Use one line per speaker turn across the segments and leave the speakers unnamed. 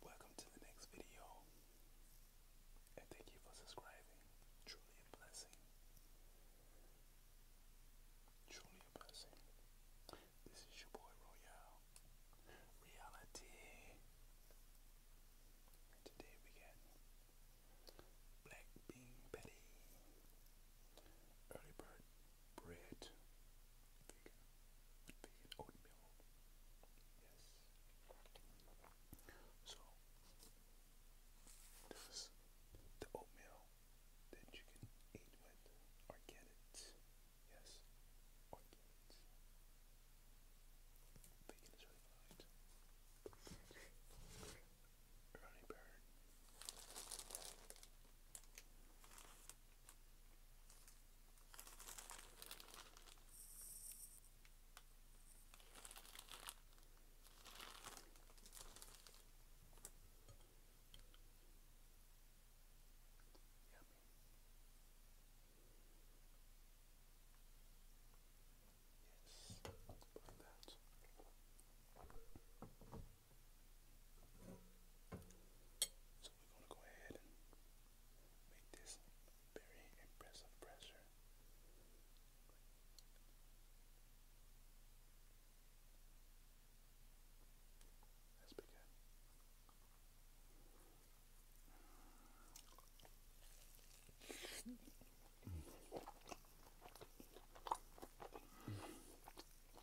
Welcome to the next video, thank you for subscribing. Truly a blessing. Truly a blessing. This is your boy Royale. Reality. today we get black bean patty early bird bread, vegan, oatmeal. Yes. So this the oatmeal that you can eat with or Yes, or Vegan is really Early bird Yes, like that. So we're going to go ahead and make this very impressive pressure. That's pretty good.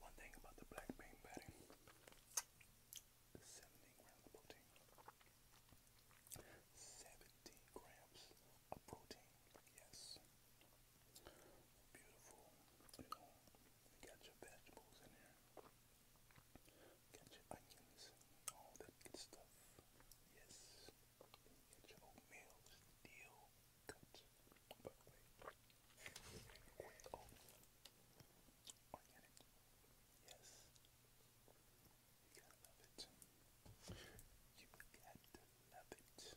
One thing about the black bean patty, the grams of protein, yes. Beautiful. You know, got your vegetables in here. got your onions, all that good stuff. Yes. You steel cut. Organic. Yes. You gotta love it. You got to love it.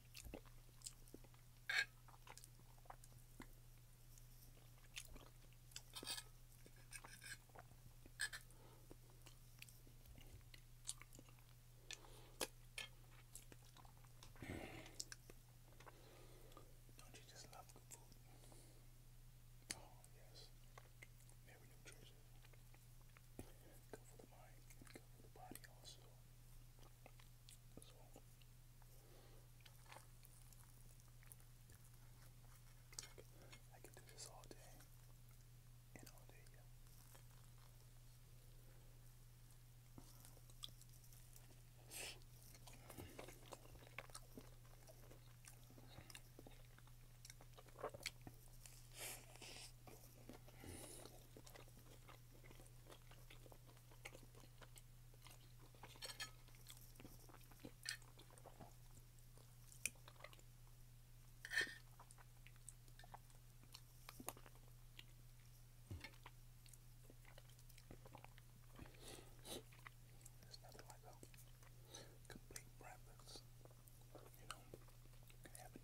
Don't you just love good food? Oh yes, Mary, New Go for the mind and go for the body also. So I can do this all day and all day. Yeah. There's nothing like a complete breakfast. You know,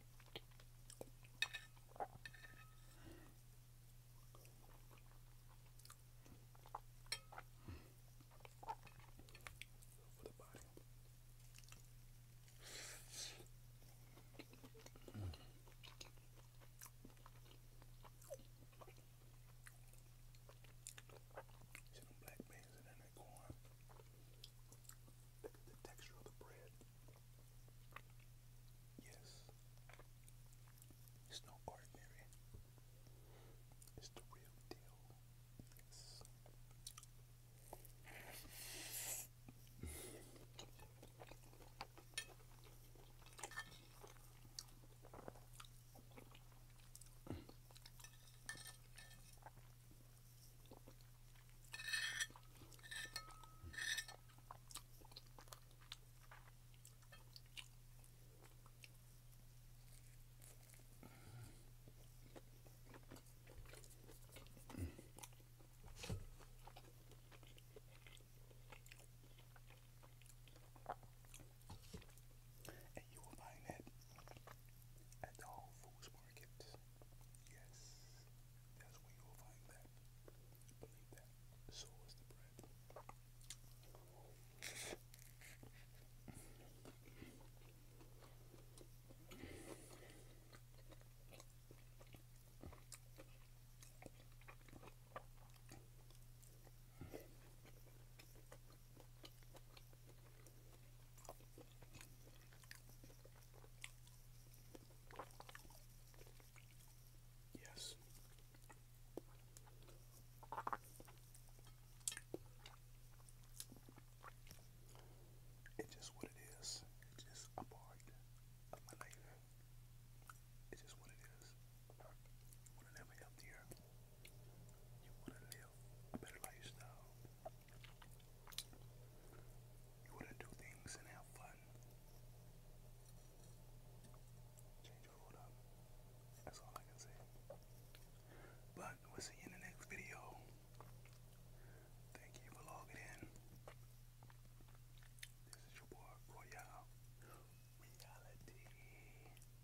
for the body. Mm. See them black beans and then that corn. Look at the texture of the bread. Yes. It's no ordinary. It's the real deal. Yes. And you will find it at the Whole Foods Market. Yes. That's where you'll find that. Believe that. So is the bread. Yes. It's just what it is. It's just a part of my life. It's just what it is. You want to live healthier. You want to live a better lifestyle. You want to do things and have fun. Change food up. That's all I can say. But we'll see you in the next video. Thank you for logging in. This is your boy Royale Reality. Peace